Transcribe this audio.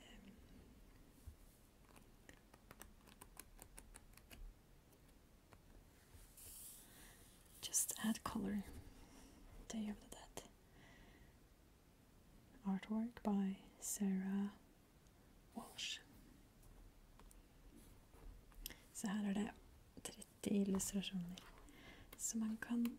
Um, just add color day after that. Artwork by Sarah Walsh. Så her er det 30 illustrasjoner. Så man kan